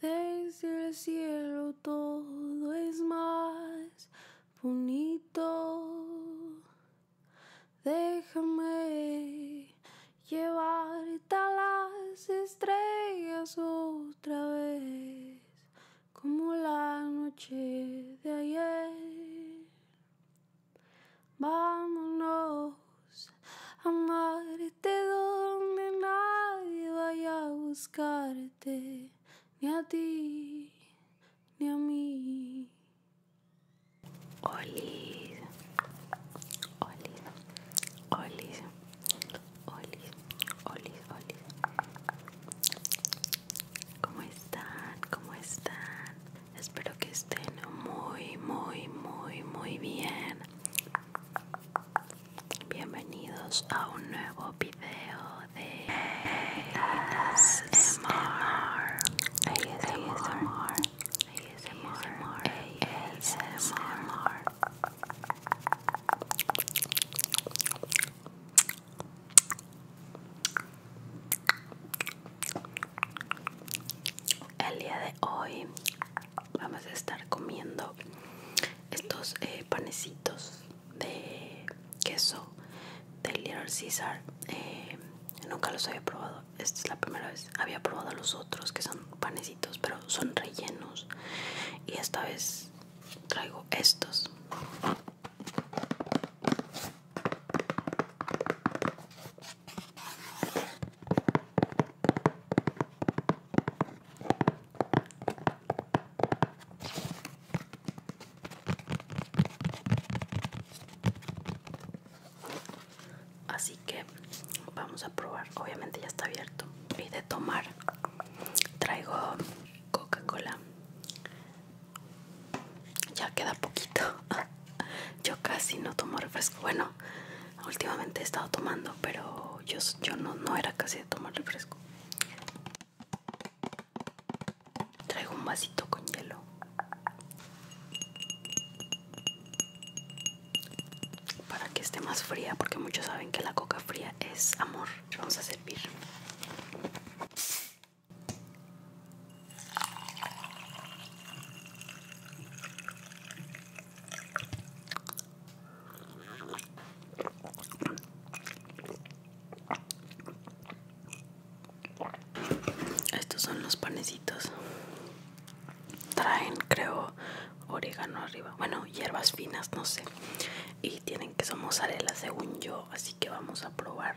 Desde el cielo todo es más bonito. Déjame llevarte a las estrellas otra vez, como la noche de ayer. Vámonos a amar te donde nadie vaya a buscarte, ni a ti, ni a mí. Hola, hola, hola, hola, hola, hola, ¿Cómo están? ¿Cómo están? Espero que estén muy, muy, muy, muy bien. Bienvenidos a un nuevo video de ASMR. ASMR. ASMR. ASMR. El día de hoy vamos a estar comiendo estos eh, panecitos de queso de Little Caesar. Eh, nunca los había probado, esta es la primera vez. Había probado los otros que son panecitos, pero son rellenos. Y esta vez traigo estos. Así que vamos a probar. Obviamente ya está abierto. Y de tomar traigo Coca-Cola. Ya queda poquito. yo casi no tomo refresco. Bueno, últimamente he estado tomando, pero yo, yo no, no era casi de tomar refresco. Traigo un vasito con hielo. Para que esté más fría, porque muchos saben que la coca fría es amor. Vamos a servir. Estos son los panecitos. Traen, creo, orégano arriba. Bueno, hierbas finas, no sé. Y tienen que somos mozzarella, según yo. Así que vamos a probar.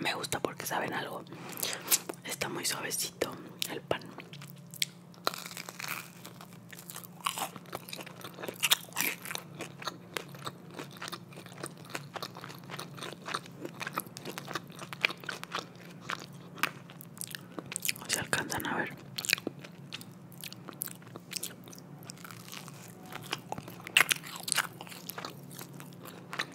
Me gusta porque saben algo. Está muy suavecito el pan. Se alcanzan a ver.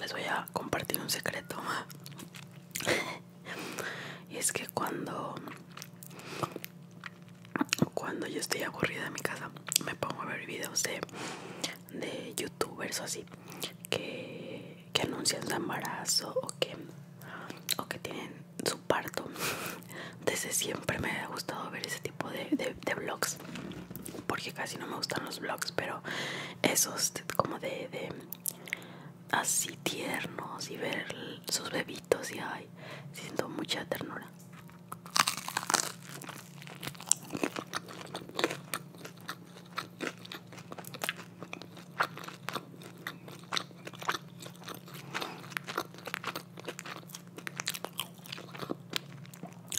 Les voy a compartir un secreto. y es que cuando cuando yo estoy aburrida en mi casa me pongo a ver videos de, de youtubers o así que, anuncian su embarazo o que, que tienen su parto desde siempre me ha gustado ver ese tipo de, vlogs porque casi no me gustan los vlogs pero esos como de así tiernos y ver sus bebitos y ay, siento mucha ternura.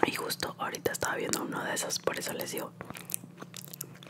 Y justo ahorita estaba viendo uno de esos, por eso les digo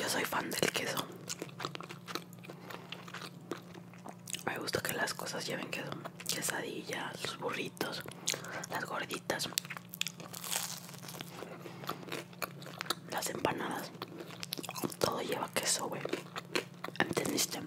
Yo soy fan del queso. Me gusta que las cosas lleven queso. Quesadillas, los burritos, las gorditas, las empanadas, todo lleva queso, güey. ¿Entendiste?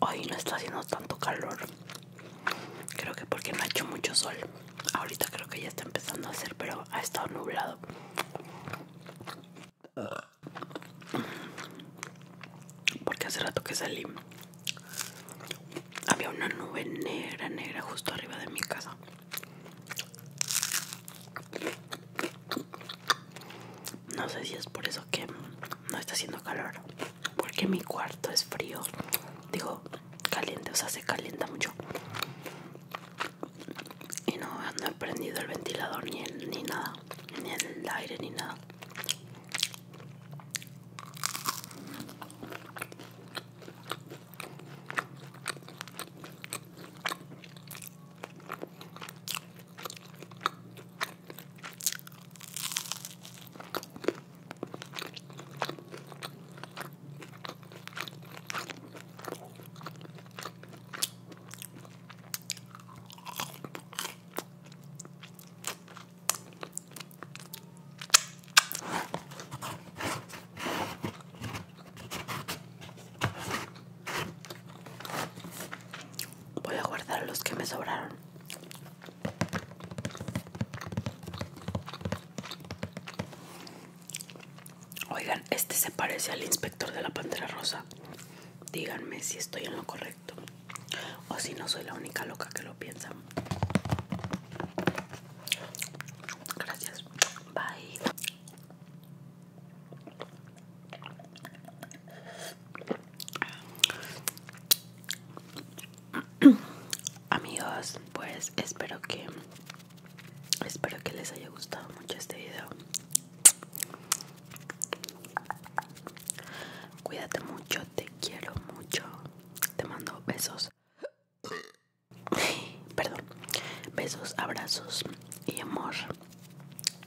hoy no está haciendo tanto calor. Creo que porque no ha hecho mucho sol. Ahorita creo que ya está empezando a hacer, pero ha estado nublado. Porque hace rato que salí había una nube negra, negra justo arriba de mi casa. No sé si es por eso que no está haciendo calor. Porque mi cuarto es frío. Digo, caliente, o sea, se calienta mucho y no, han prendido el ventilador ni, ni nada, ni el aire ni nada. Voy a guardar los que me sobraron. Oigan, este se parece al inspector de la Pantera Rosa. Díganme si estoy en lo correcto o si no soy la única loca que lo piensa. Gracias. Bye. Amigos, pues espero que Espero que les haya gustado mucho este video. Cuídate mucho, te quiero mucho. Te mando besos. Perdón. Besos, abrazos y amor.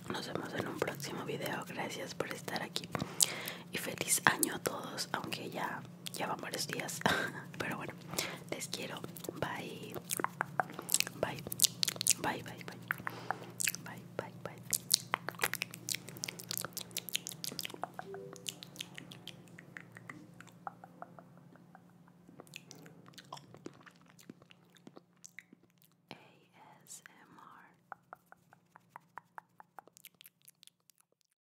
Nos vemos en un próximo video. Gracias por estar aquí. Y feliz año a todos, aunque ya ya van varios días. Pero bueno, les quiero. Bye. Bye. Bye, bye, bye. Bye, bye, bye. ASMR.